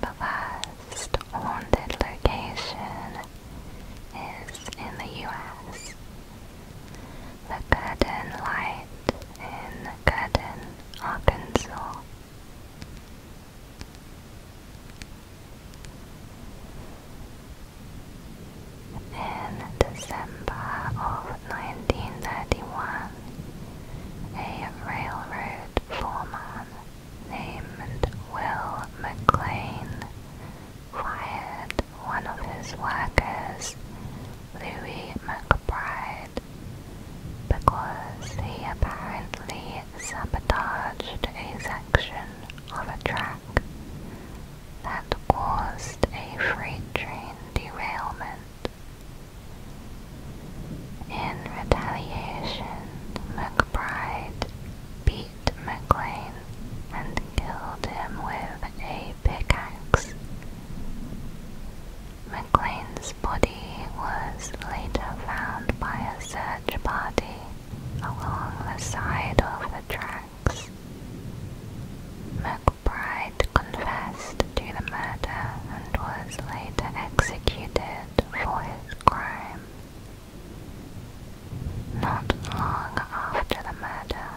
The last haunted location is in the US. The Curtain Light in Curtin, Arkansas. In December of 1931, a railroad foreman named Will McLean fired one of his workers, Louis McBride, because he apparently sabotaged a section of a track that caused a freight train derailment in retaliation, McBride beat McLean and killed him with a pickaxe. McLean's body was later found by a search party along the side of the tracks. McBride confessed to the murder and was later executed for his crime. Not long after the murder,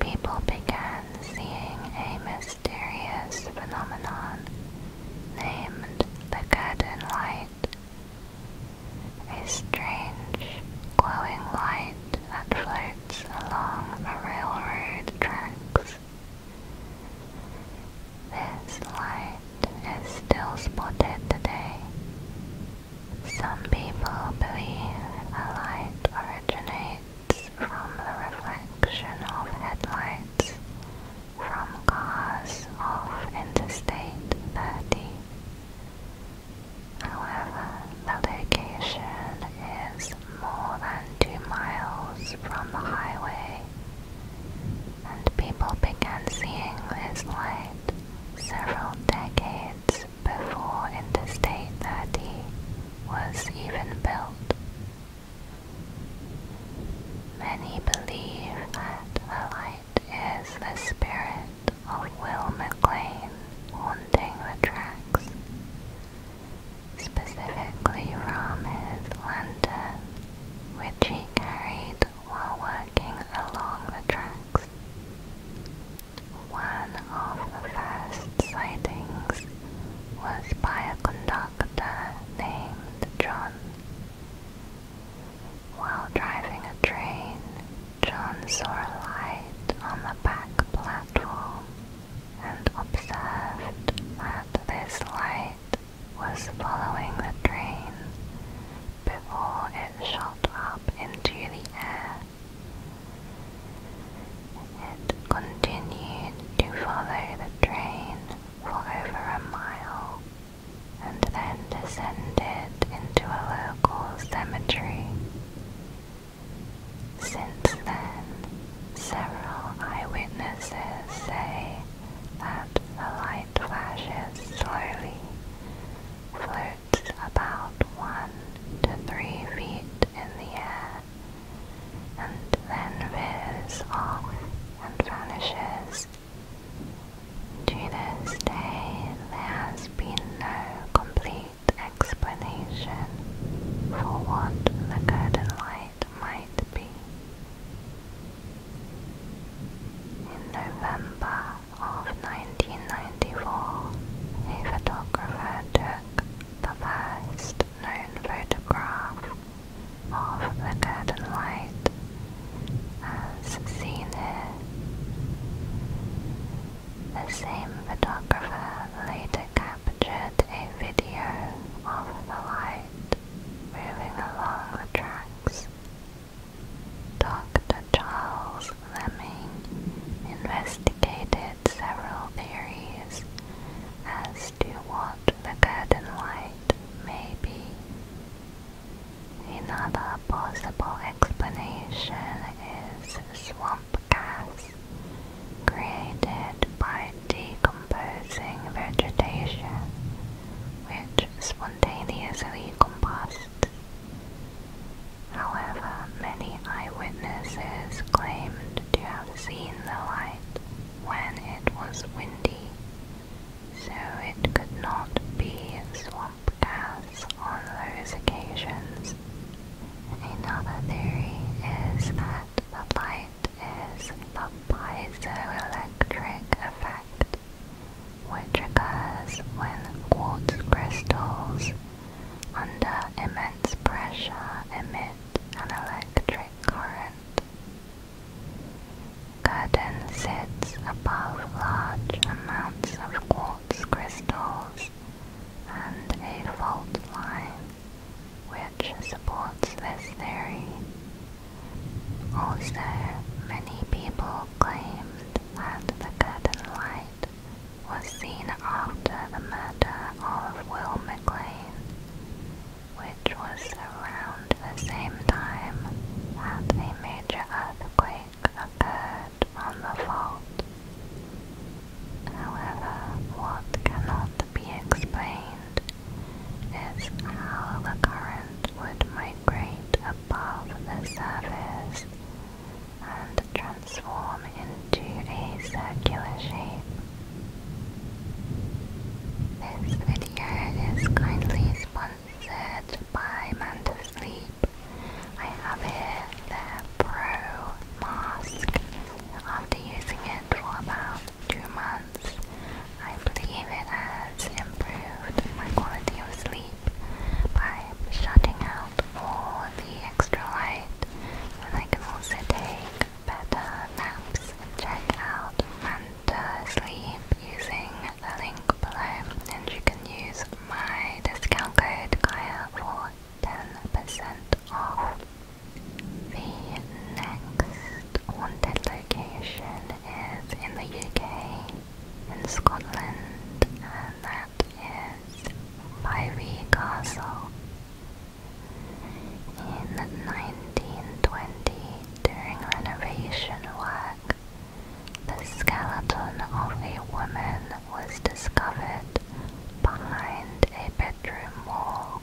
people began seeing a mysterious phenomenon named the curtain light. A strange, glowing light that floats along the railroad tracks this light is still spotted today. Some people believe a light originates from the reflection of headlights from cars off Interstate 30. However, the location is more than two miles from the highway and people began seeing this light several decades before Interstate 30 was even built. Many believe that the light is the spirit of Will McLean haunting the tracks, specifically from his lantern which he carried while working along the tracks. One of the first sightings was by a conductor named John. While driving a train, John saw a light on the back platform and observed that this light was following the train before it shot up into the air. It continued to follow the train for over a mile and then descended into a local cemetery. Since then, several eyewitnesses say that the light flashes slowly, floats about one to three feet in the air, and then veers off and vanishes. To this day, there has been no complete explanation for what the curtain light in November of 1994, a photographer took the first known photograph of the curtain light as seen here. The same photographer later captured a video of the light moving along the tracks. Dr. Charles Lemming investigated several theories as to what the curtain light may be. Another possible explanation is swamp gas created by decomposing vegetation, which spontaneously composts. However, many eyewitnesses claimed to have seen the light when it was windy, so it could not be swamp gas on those occasions. Another theory is that the light is the piezoelectric effect, which occurs when quartz crystals under immense pressure emit an electric current. Curtin sits above large amounts of quartz crystals and a fault line which supports this theory. Also, many people claimed that the curtain light was seen after the murder of Will McLean, which was around the same time that a major earthquake occurred on the fault. However, what cannot be explained is how the current would migrate above the surface and transform into a circular shape. This video is kindly sponsored by Manta Sleep. I have here their Pro Mask after using it for about two months. I believe it has improved my quality of sleep by shutting out all the extra light, and I can also take better naps. Check out Manta Sleep using the link below, and you can use my discount code Kaya for 10% off. The next wanted location is in the UK, in Scotland, and that is Fyvie Castle. In 1920, during renovation work, the skeleton of a woman was discovered behind a bedroom wall.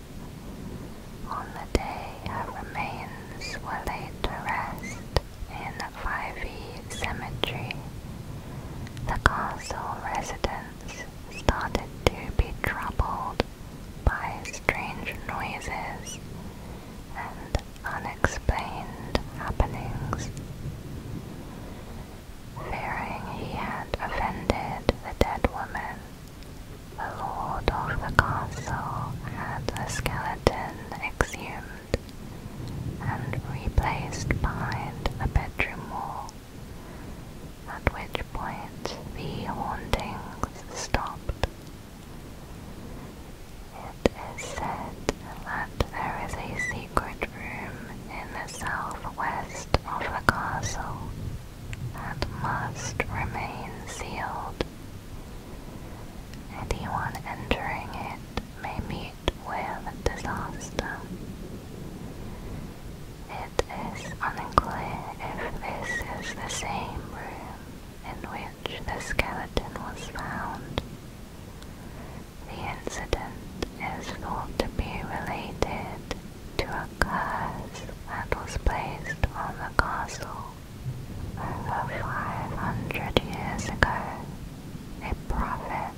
On the day her remains were laid to rest in the Five Fyvie Cemetery, the castle residents started to be troubled by strange noises and unexplained happenings. Fearing he had offended the dead woman, the lord of the castle had the skeleton exhumed and replaced behind the bedroom wall, at which point the hauntings stopped. It is said that there is a secret room in the southwest of the castle and must remain sealed. Anyone entering it may meet with disaster. It is unclear if this is the same room in which the skeleton was found. The incident is thought to be related to a curse that was placed on the castle over 500 years ago. A prophet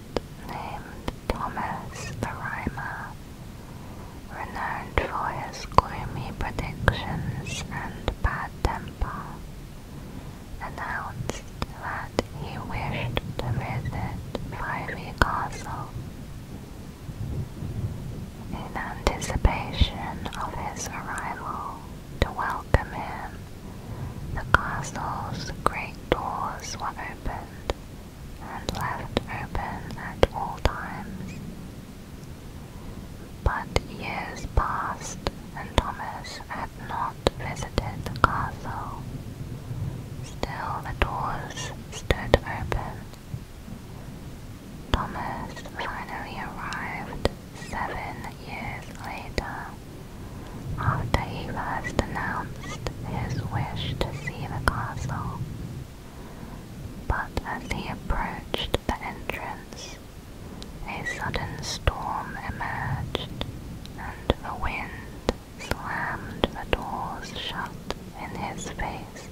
named Thomas the Rhymer, renowned for his gloomy predictions and bad temper, announced that he wished to visit Fyvie Castle in anticipation of his arrival to welcome him, the castle's great doors were opened and left open at all times. But years passed, and Thomas had not visited the castle. Still the doors stood open Thomas finally arrived seven years later, after he first announced his wish to see the castle. But as he approached the entrance, a sudden storm emerged, and the wind slammed the doors shut in his face.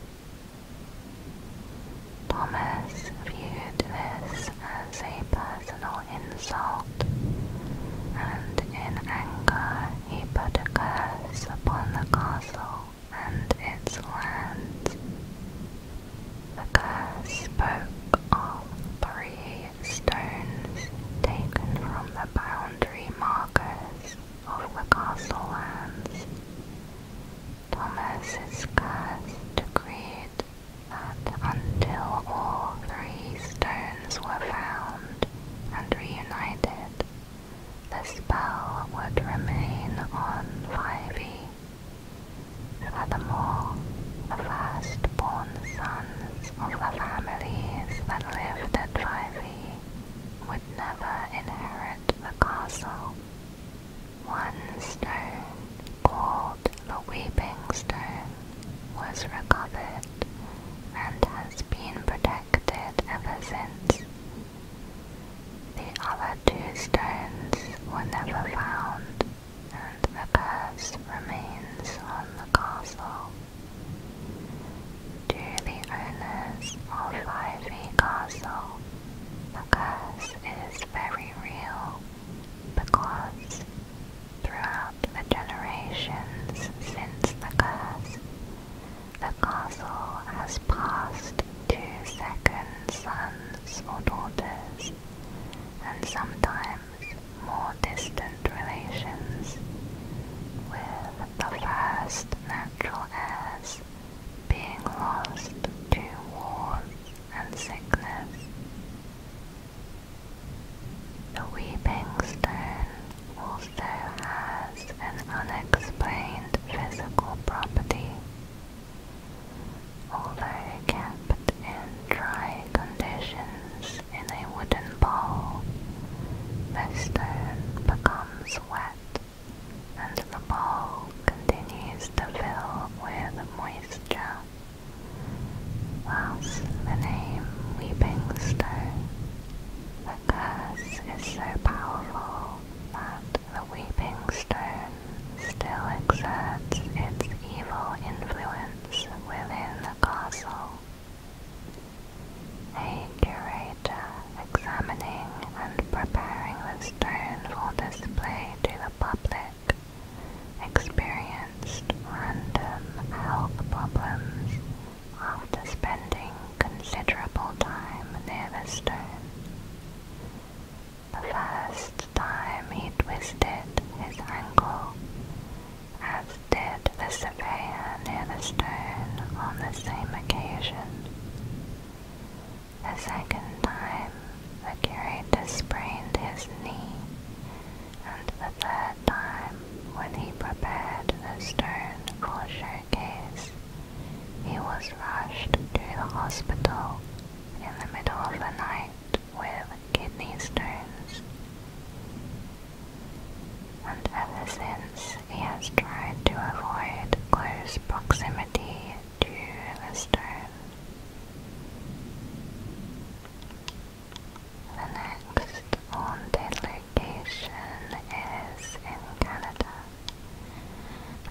Thomas viewed this as a personal insult, and in anger he put a curse upon the castle and its lands. The curse spoke of three stones taken from the boundary markers of the castle lands, Thomas's decreed that until all three stones were found and reunited, the spell would remain on 5e. Furthermore, the first-born sons of the families that lived at 5e never inherit the castle. One stone, called the Weeping Stone, was recovered and has been protected ever since. The other two stones were never found, and the curse remains on the castle to the owners of Ivy Castle the curse is very real because throughout the generations since the curse, the castle has passed to second sons or daughters and sometimes more distant relations, with the first natural heirs being lost to wars and sickness. The Weeping Stone also has an unexplained physical property. Although kept in dry conditions in a wooden bowl, the stone becomes wet and the ball continues to fill with moisture, whilst the name Weeping Stone, the curse is so powerful that the Weeping Stone still exerts its evil influence within the castle a curator examining and preparing the stone for display to the public experienced random health problems after spending considerable time near the stone. The first time he twisted his ankle, as did the surveyor near the stone on the same occasion. The second time, the curator sprained his knee, and the third time, when he prepared the stone for showcase, he was rushed to the hospital in the middle of the night with kidney stones. And ever since, he has tried to avoid close proximity to the stone. The next haunted location is in Canada,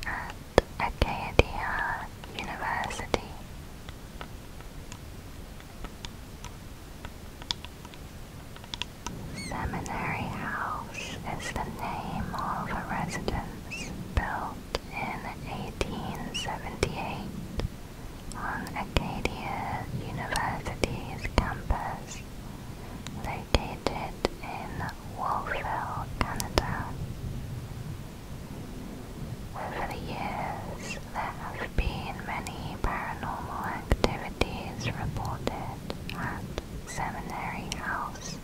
at Acadia University. Seminary House is the name of a residence built in 1878 on Acadia University's campus, located in Wolfville, Canada. Over the years, there have been many paranormal activities reported at seminary house.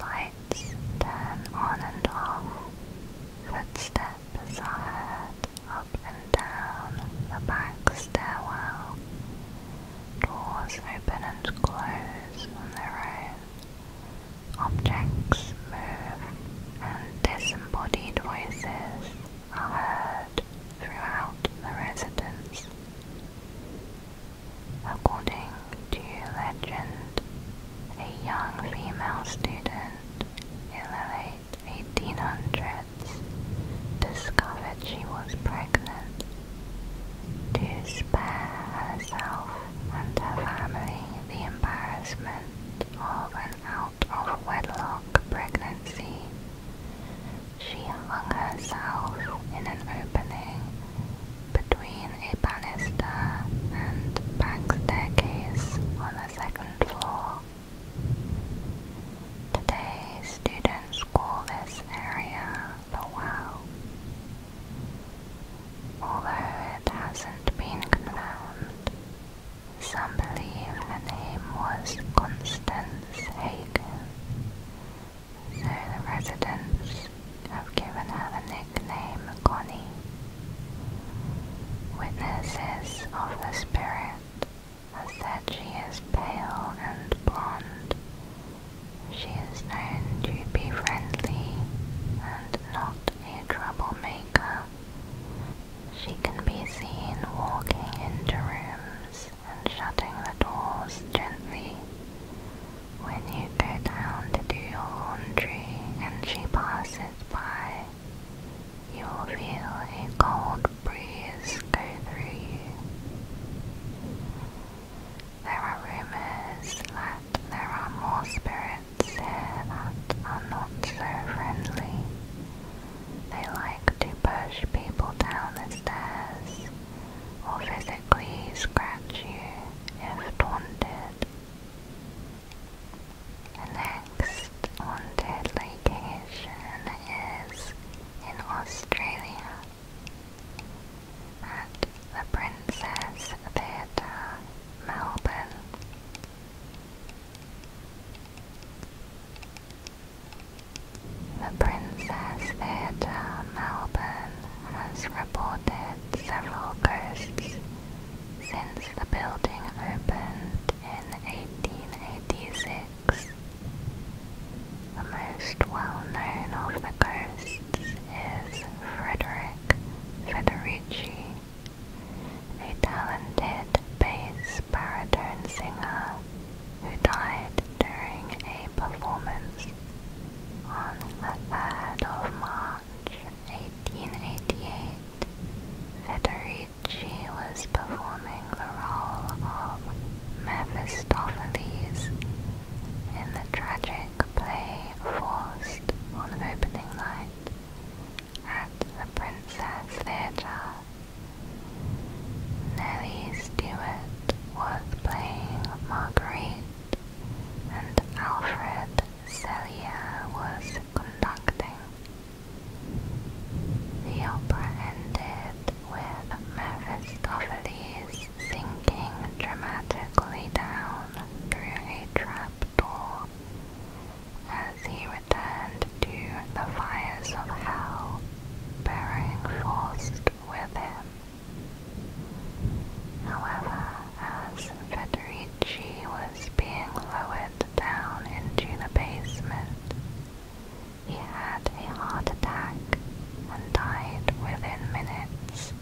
Lights turn on and off. Footsteps are heard up and down the back stairwell. Doors open and close on their own. Objects move and disembodied voices are heard throughout the residence. According to legend, a young female student in the late 1800s discovered she was pregnant. To spare herself and her family the embarrassment of an out of wedlock pregnancy, she hung herself in an opening between a banister and back staircase on the second floor. Today, students call this area the well. Although it hasn't been confirmed, some believe her name was Constance Hagen, so the residents have given her the nickname Connie. Witnesses of the spirit have said she is pale and blonde. She is known to be friendly and not a troublemaker. She can be seen walking into rooms and shutting the doors gently. When you go down to do your laundry and she passes by, you will feel a cold breeze go through you. There are rumors that there are more spirits here that are not so friendly. They like to push people down the stairs or physically scratch you if taunted. The next haunted location is in Australia at the Princess Theatre, Melbourne. The Princess Theatre Melbourne has reported several ghosts since the building opened in 1886. The most well-known of the ghosts is Frederick Federici, a talented bass baritone singer who died during a performance on the 3rd of March 1888. Federici was performing the role of Mephistopheles in the tragic play Forced on opening night at the Princess Theatre Nellie Stewart was playing Marguerite and Alfred Celia was conducting. The opera ended with Mephistopheles sinking dramatically down through a trap door as he returned to the fires of hell bearing forced with him. However, as Federici was being lowered down into the basement, he had a heart attack and died within minutes.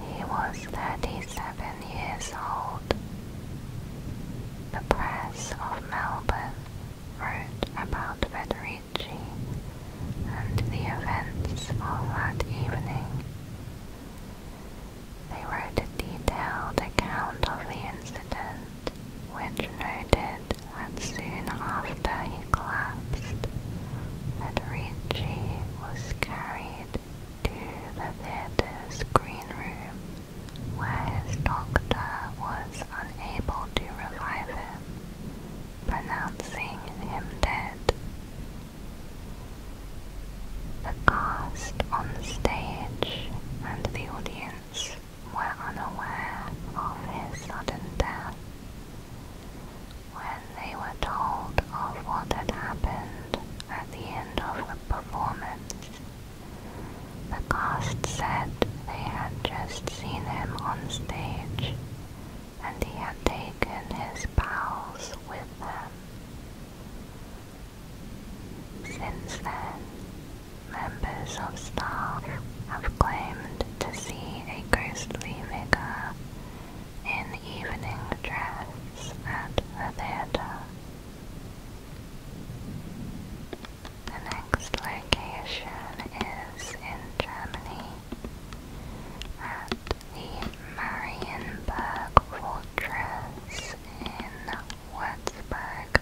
He was 37 years old. The press of Melbourne wrote about Federici and the events of that evening. They wrote a detailed account of the incident, which noted that soon after he collapsed, Federici was carried to the theatre's green room where his doctor was unable to revive him, pronouncing him dead. The cast on stage and the audience were unaware of his sudden death. When they were told of what had happened at the end of the performance, the cast said they had just seen him on stage and he had taken his pals with them. Since then, members of staff have claimed to see a ghostly figure in evening dress at the theatre. The next location is in Germany at the Marienberg Fortress in Würzburg.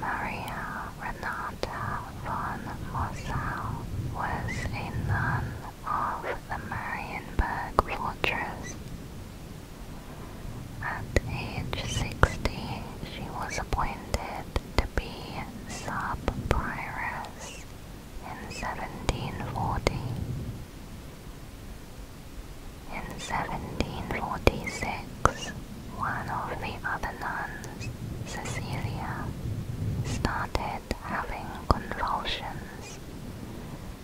Maria Renata von Mossau was a nun of the Marienberg Fortress. At age 60, she was appointed to be sub-prioress in 1740. In 1746, one of the other nuns, Cecilia, started having convulsions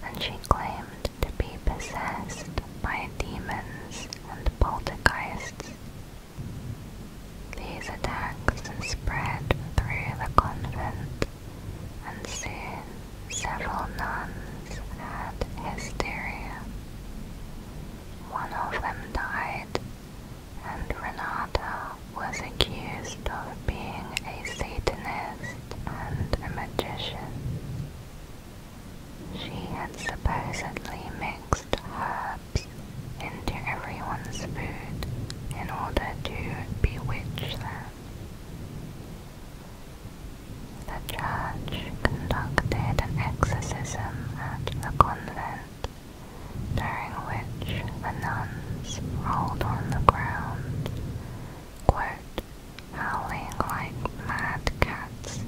and she claimed to be possessed by demons and poltergeists. These attacks spread through the convent, and soon several nuns had hysteria. One of them died, and Renata was accused of being a Satanist and a magician. She had supposedly mixed herbs into everyone's food in order to bewitch them. The church conducted an exorcism at the convent, during which the nuns rolled on the ground, quote, howling like mad cats.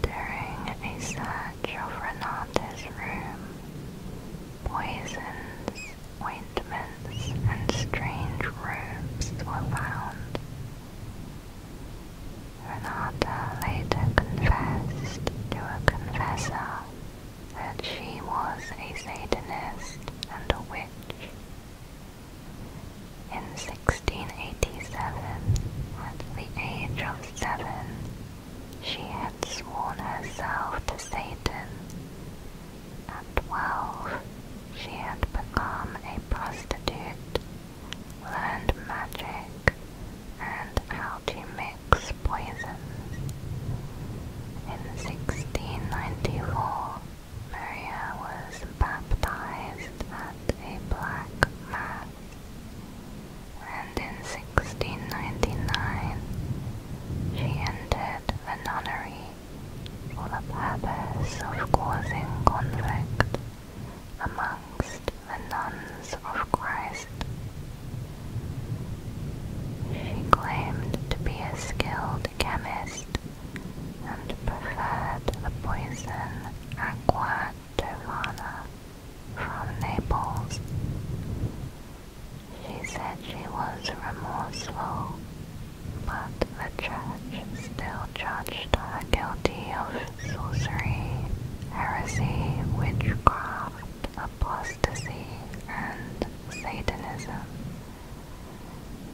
During a search of Renata's room, poisons, ointments, and strange robes were found. Renata later confessed to a confessor that she was a Satanist and a witch. In 1687, at the age of seven, she had sworn herself to Satan. At twelve, she had become a prostitute, learned magic, and how to mix poison. In 1694, Maria was baptized at a black mass, and in 1699 she entered a nunnery for the purpose of causing conflict amongst the nuns of Christ. She claimed to be a skilled chemist and preferred the poison Aqua Giovanna from Naples. She said she was remorseful, but the church still judged her guilty of sorcery, heresy, witchcraft, apostasy, and Satanism.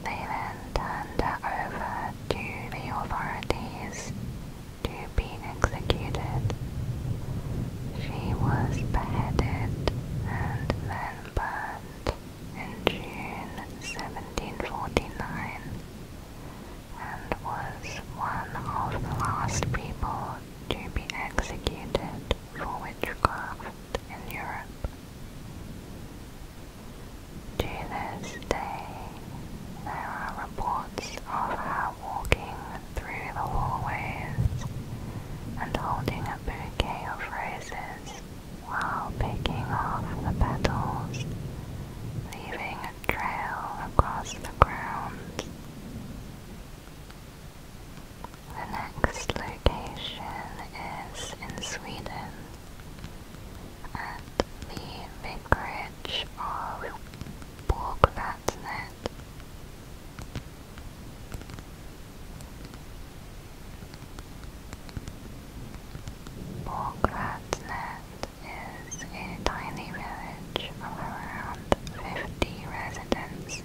They then turned her over to the authorities to be executed. She was beheaded and then burned in June 1749 and was one of the last people to be executed for witchcraft in Europe. To this day, there are reports of her walking through the hallways and holding a bouquet of roses while picking off the petals, leaving a trail across the grounds. The next location is in Sweden at the vicarage of Borgvatnet. Borgvatnet is a tiny village of around 50 residents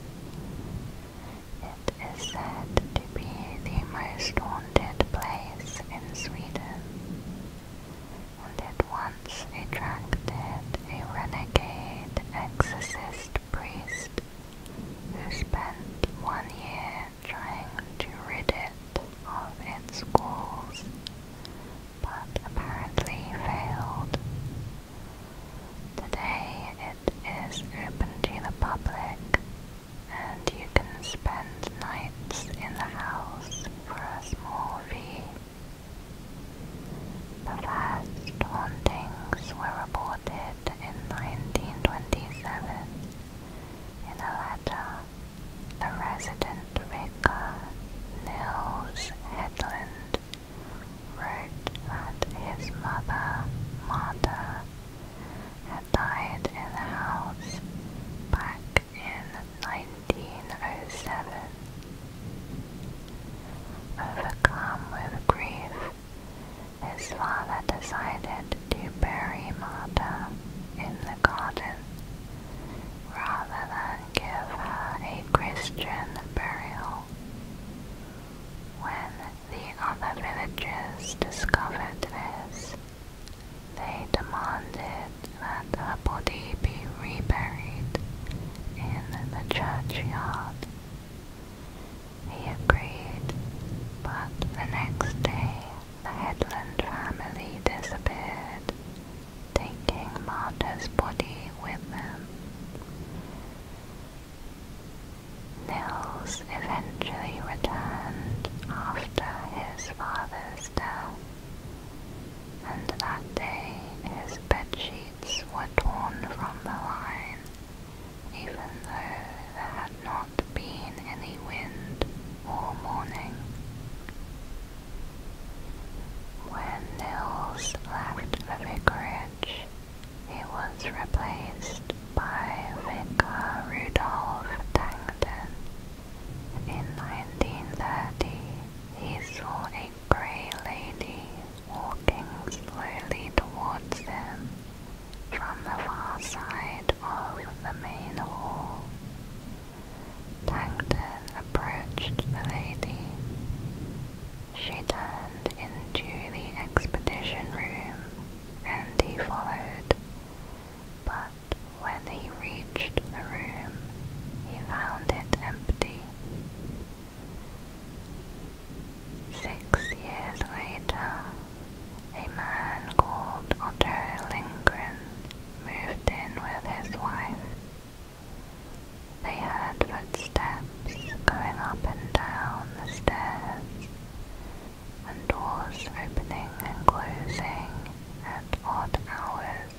it is said to be the most haunted place in Sweden, and it once attracted a renegade exorcist priest who spent one year trying to rid it of its ghouls, but apparently failed. Today it is open to the public and you can spend nights in the house for a small fee. The last hauntings were reported in 1927 in a letter the resident vicar Nils Hedlund wrote that his mother, Martha, had died in the house back in 1907. Overcome with grief, his father decided to bury Marta in the garden rather than give her a Christian burial. When the other villagers discovered this. They demanded that her body be reburied in the churchyard. He agreed, but the next day the Headland family disappeared, taking Marta's body with them. Nils eventually returned after his father's death, and that day his bedsheets were torn from the line, even though there had not been any wind or morning. When Nils left the vicarage, he was replaced by Vicar Rudolph Dangton. In 1930, he saw a grey lady walking slowly towards them from the far side of the main hall. Dangton approached the lady. She turned into the expedition room and he followed. But when he reached the room, he found it empty. Six years later, a man called Otto Lindgren moved in with his wife. They heard footsteps going up and down the stairs, and doors opening and closing at odd hours.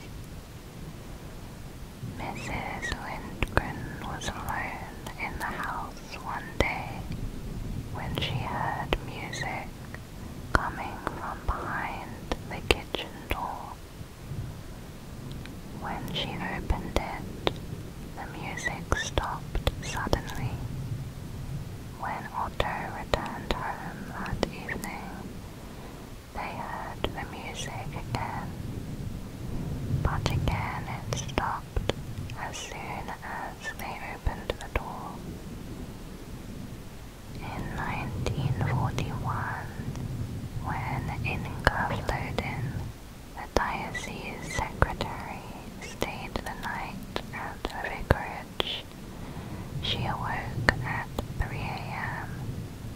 Mrs. Lindgren was alone in the house one day when she heard music coming from behind the kitchen door. When she opened it, the music stopped suddenly. When Otto returned home that evening, they heard the music again. But again it stopped as soon as they opened the door. In 1941, when Inga flowed in, the the diocese secretary stayed the night at the vicarage. She awoke at 3 a.m.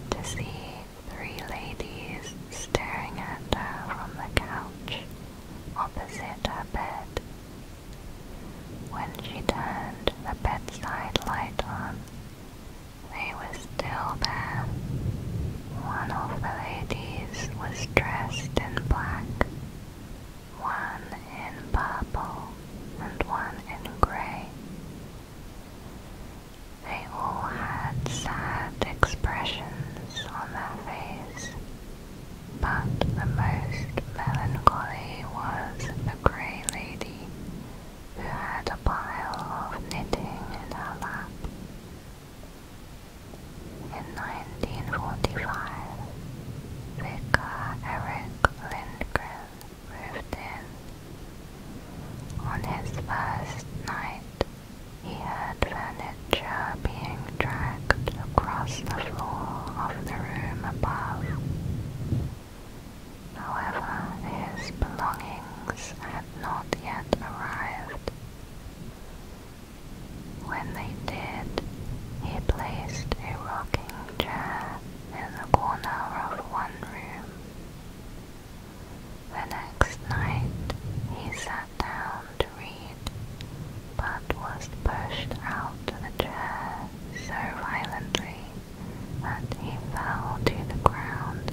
to see three ladies staring at her from the couch opposite her bed. When she turned the bedside light on, they were still there. One of the ladies was dressed in black one in purple and one in grey. They all had sad expressions on their faces, but the most melancholy was the grey lady, who had a pile of knitting in her lap. In 1945, vicar Eric Lindgren moved in. On his first night, he heard furniture being dragged across the floor of the room above. However, his belongings had not yet arrived. When they did, he placed a rocking chair in the corner of one room. The next night, he sat down to read, but was pushed out of the chair so violently that he fell to the ground.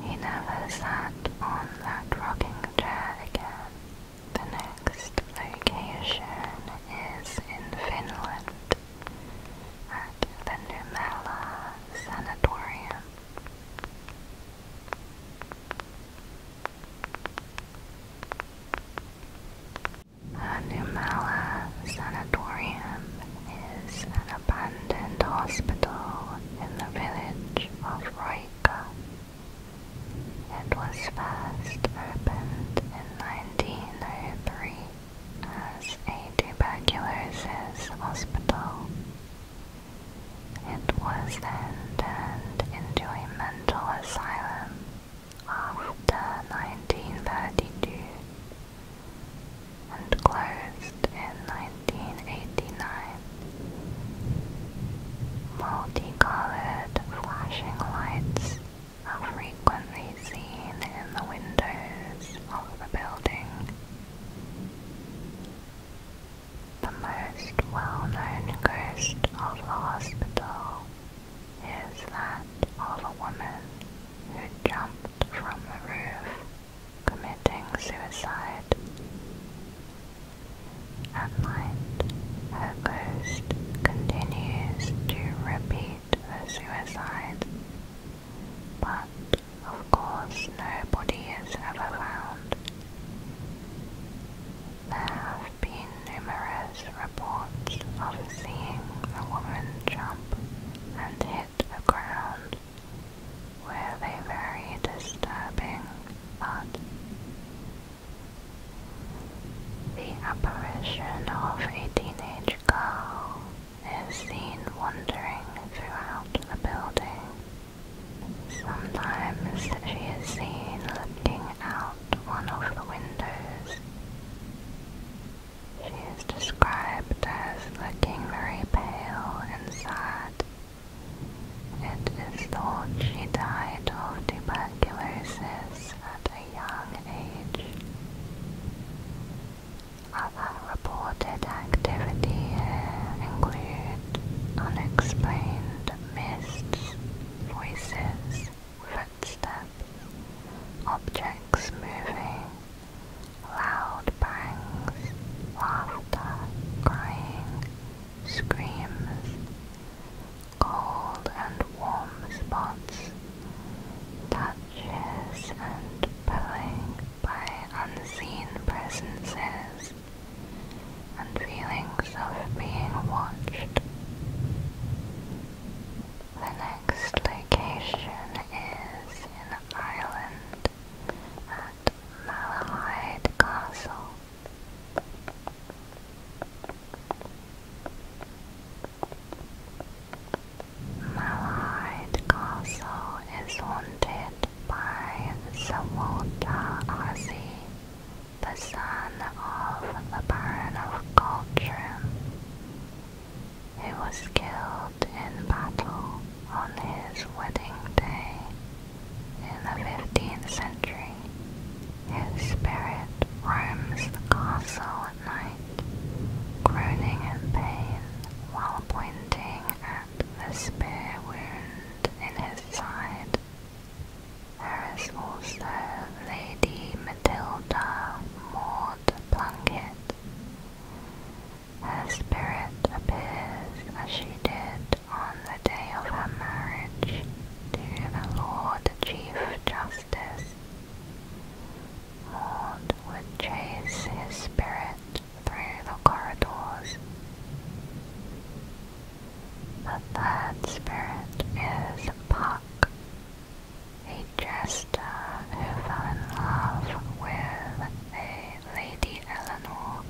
He never sat on that rocking chair again. The next location is in Finland at the Numella Sanatorium. The Numella Sanatorium is an abandoned hospital in the village of Roika. It was first opened in 1903 as a tuberculosis hospital. It was then turned into a mental asylum after 1932 and closed in 1989. Multicolored flashing lights are frequently seen in the windows of the building. The most well-known ghost of the hospital is that of a woman who jumped from the roof, committing suicide. At night, her ghost continues to repeat the suicide, but of course no is ever found. There have been numerous reports of seeing the woman jump and hit the ground with a very disturbing but The apparition of a teenage girl is seen wandering throughout the building. Sometimes she is seen looking out one of the windows. She is described as looking very pale and sad it is thought she died of tuberculosis at a young age. Other reported activity include unexplained mists, voices, footsteps, objects moving, loud bangs, laughter, crying, screams, cold and warm spots, touches and pulling by unseen presences, and feelings of being watched. The next location is in Ireland at Malahide Castle. Malahide Castle is haunted by Sir Walter the son of the Baron of Coltrim, who was killed in battle on his wedding day in the 15th century, his spirit roams the castle at night, groaning in pain while pointing at the spear wound in his side. There is also Lady Matilda Maud Plunkett. Her spirit appears as she did on the day of her marriage to the Lord Chief Justice. Maud would chase his spirit through the corridors. The third spirit is Puck, a jester who fell in love with the Lady Eleanor,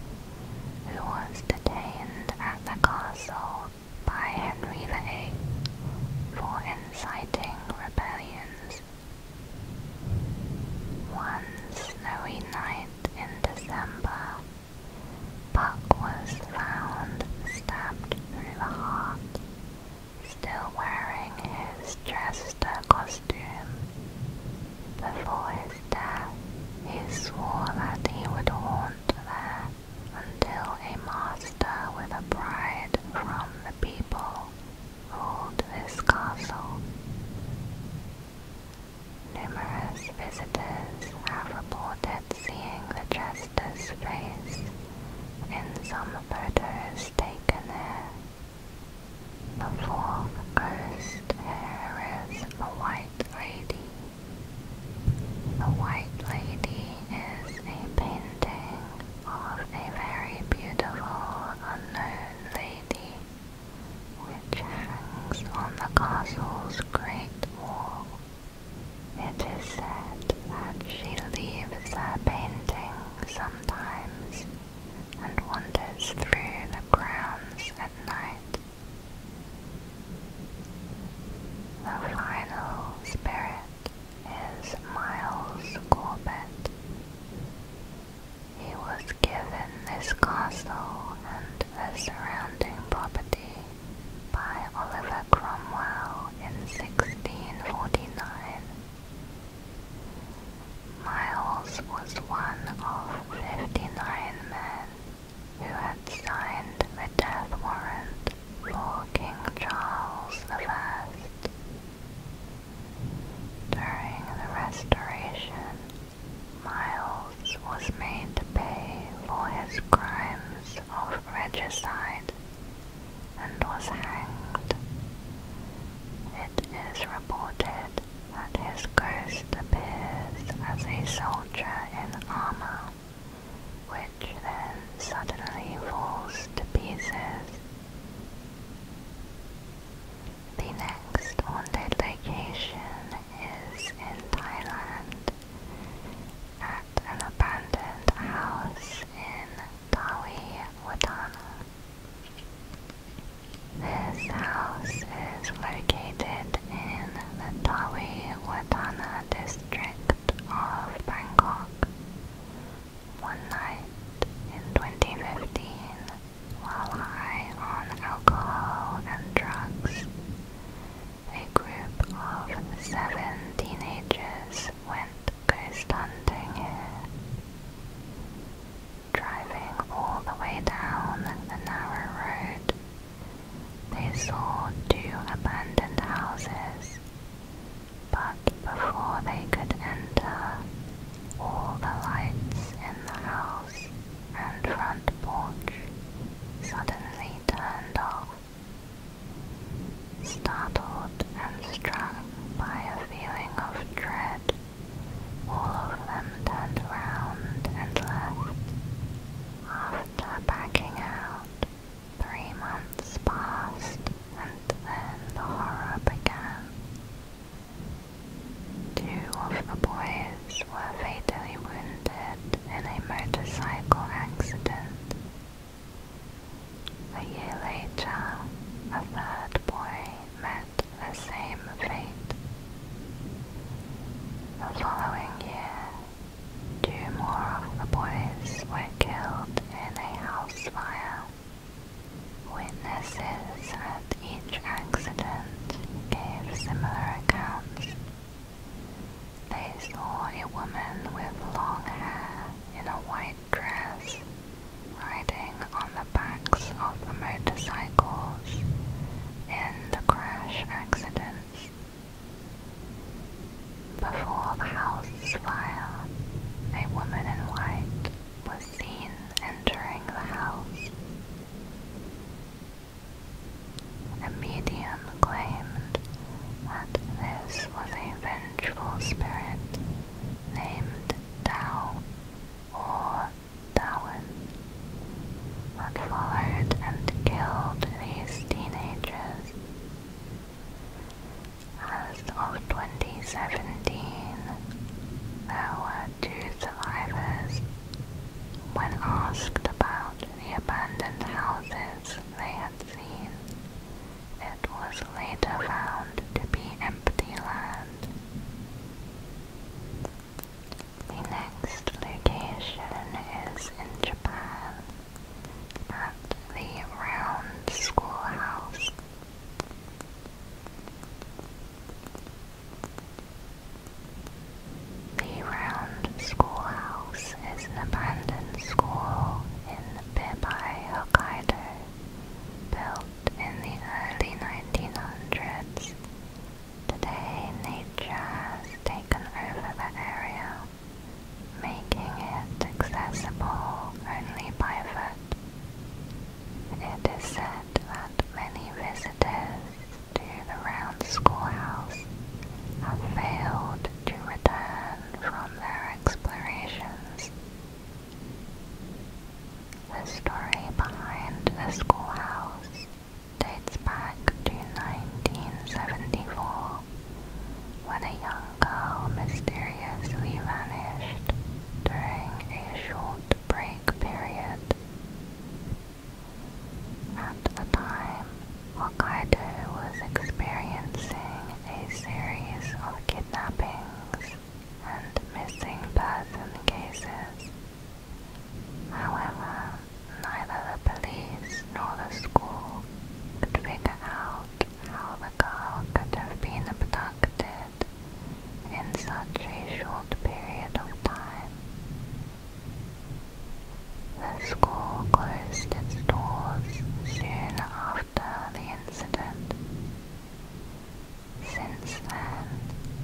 who was detained at the castle by Henry VIII for inciting rebellions. One snowy night in December, Puck was found stabbed through the heart, still wearing his Chester costume. Before his death, he swore that he would haunt there until a master with a bride from the people ruled this castle. Numerous visitors have reported seeing the jester's face in some photos taken there. The fourth ghost here is a white lady. The white lady is a painting of a very beautiful unknown lady which hangs on the castle's great wall. It is said that she leaves her painting sometimes and wanders through the grounds at night the final spirit is Miles Corbett. He was given this castle and the surrounding property by Oliver Cromwell in 1649. Miles was one of 59 men who had signed the death warrant for King Charles I. During the Restoration, Miles was made to pay for his crimes of regicide and was hanged. It is reported and his ghost appears as a soldier in armor, which then suddenly falls to pieces. The next haunted location is in Thailand, at an abandoned house in Tawi this house is located in the Tawi Watana district of Bangkok. One night in 2015, while high on alcohol and drugs, a group of seven teenagers went ghost hunting here. Driving all the way down the narrow road, they saw two abandoned houses, but before they could enter, all the lights in the house and front porch suddenly turned off. Startled and struck by a feeling of dread, all of them turned round and left after backing out. Three months passed and then the horror began. Two of the boys were fatally wounded in a motorcycle accident. A year later, a third boy met the same fate. The following year, two more of the boys were killed in a house fire. Witnesses at each accident gave similar accounts. They saw a woman with long hair in a white dress riding on the the backs of the motorcycles in the crash accidents. Before the house fire, a woman in white was seen entering the house. A medium claimed that this was a vengeful spirit named Tao or Darwin, but and killed these teenagers. As of 2017, there were two survivors. When asked about the abandoned houses they had seen, it was later found to be empty land. The next location is in Japan, at the Round Schoolhouse. The Round Schoolhouse is an abandoned school in Bibai, Hokkaido, built in the early 1900s Today, nature has taken over the area, making it accessible only by foot. It is said that many visitors to the round schoolhouse have failed to return from their explorations. The story behind the schoolhouse dates back to 1974 when a young girl mysteriously vanished during a short break period. At the time, Hokkaido was experiencing a series of kidnappings and missing person cases However, neither the police nor the school could figure out how the girl could have been abducted in such a short period of time. The school closed its doors soon after the incident. Since then,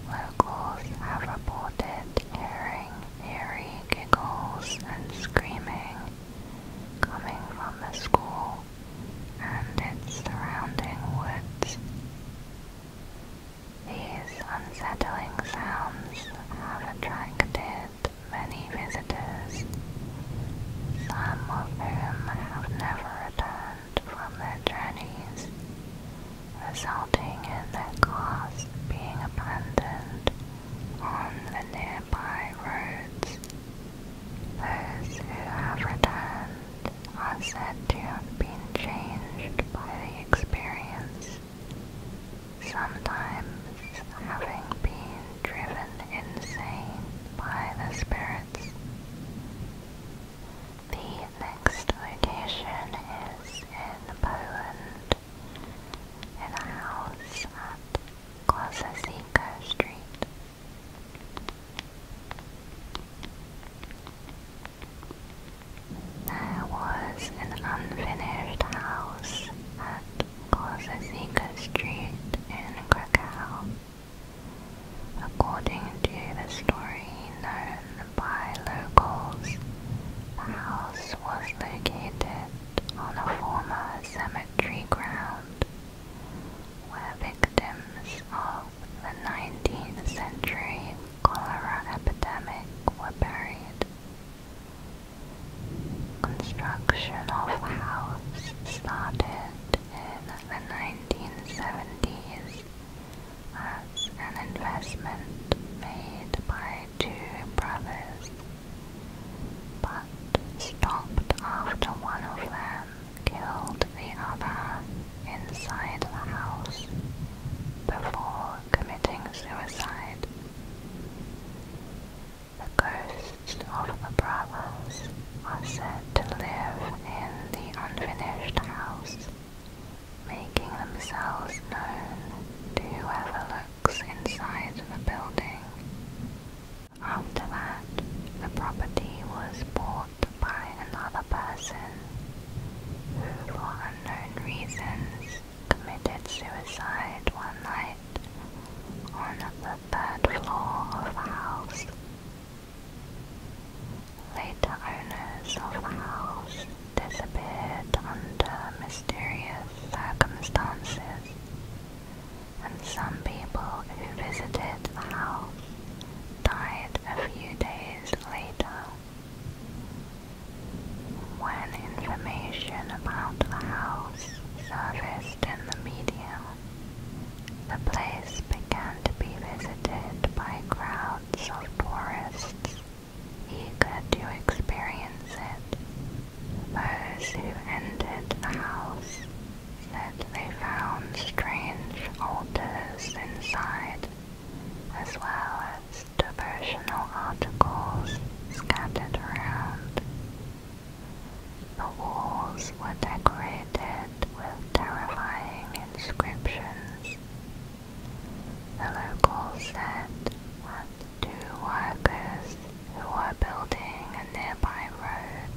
locals have reported hearing eerie giggles and screaming coming from the school and its surrounding woods. These unsettling sounds have attracted many visitors, some of whom have never returned from their journeys, resulting in their cars being abandoned on the nearby roads. Those who have returned are said to have been changed by the experience, sometimes having been driven insane by the spirits. The next location is in Poland, in a house at Klasicka Street. There was an unfinished house at Klasicka Street in Krakow. According to the story known by locals, the house was located on a former cemetery ground where victims of the 19th century cholera epidemic were buried. Construction of the house started in the 1970s was an investment made by two brothers, but stopped after one of them killed the other inside the house before committing suicide. The ghosts of the brothers are said to live in the unfinished house making themselves known to whoever looks inside the building. After that, the property was bought by another person who, for unknown reasons, committed suicide one night on the third floor of the house. Later owners of the house disappeared under mysterious circumstances, and some people who visited the house died a few days later. When information about the house surfaced in the media, the place began to be visited by crowds lots tourists eager to experience it. Those who entered the house said they found strange altars inside, as well as devotional articles scattered around. The walls were decorated with terrifying inscriptions the locals sent that two workers who were building a nearby road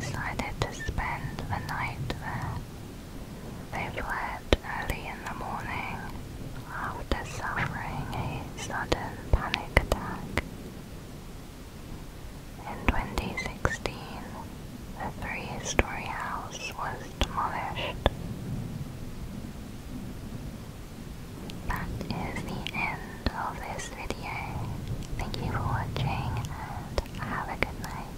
decided to spend the night there. They fled early in the morning after suffering a sudden panic attack. In 2016, the three-story house was demolished. That is the end of this video. Thank you for watching and have a good night.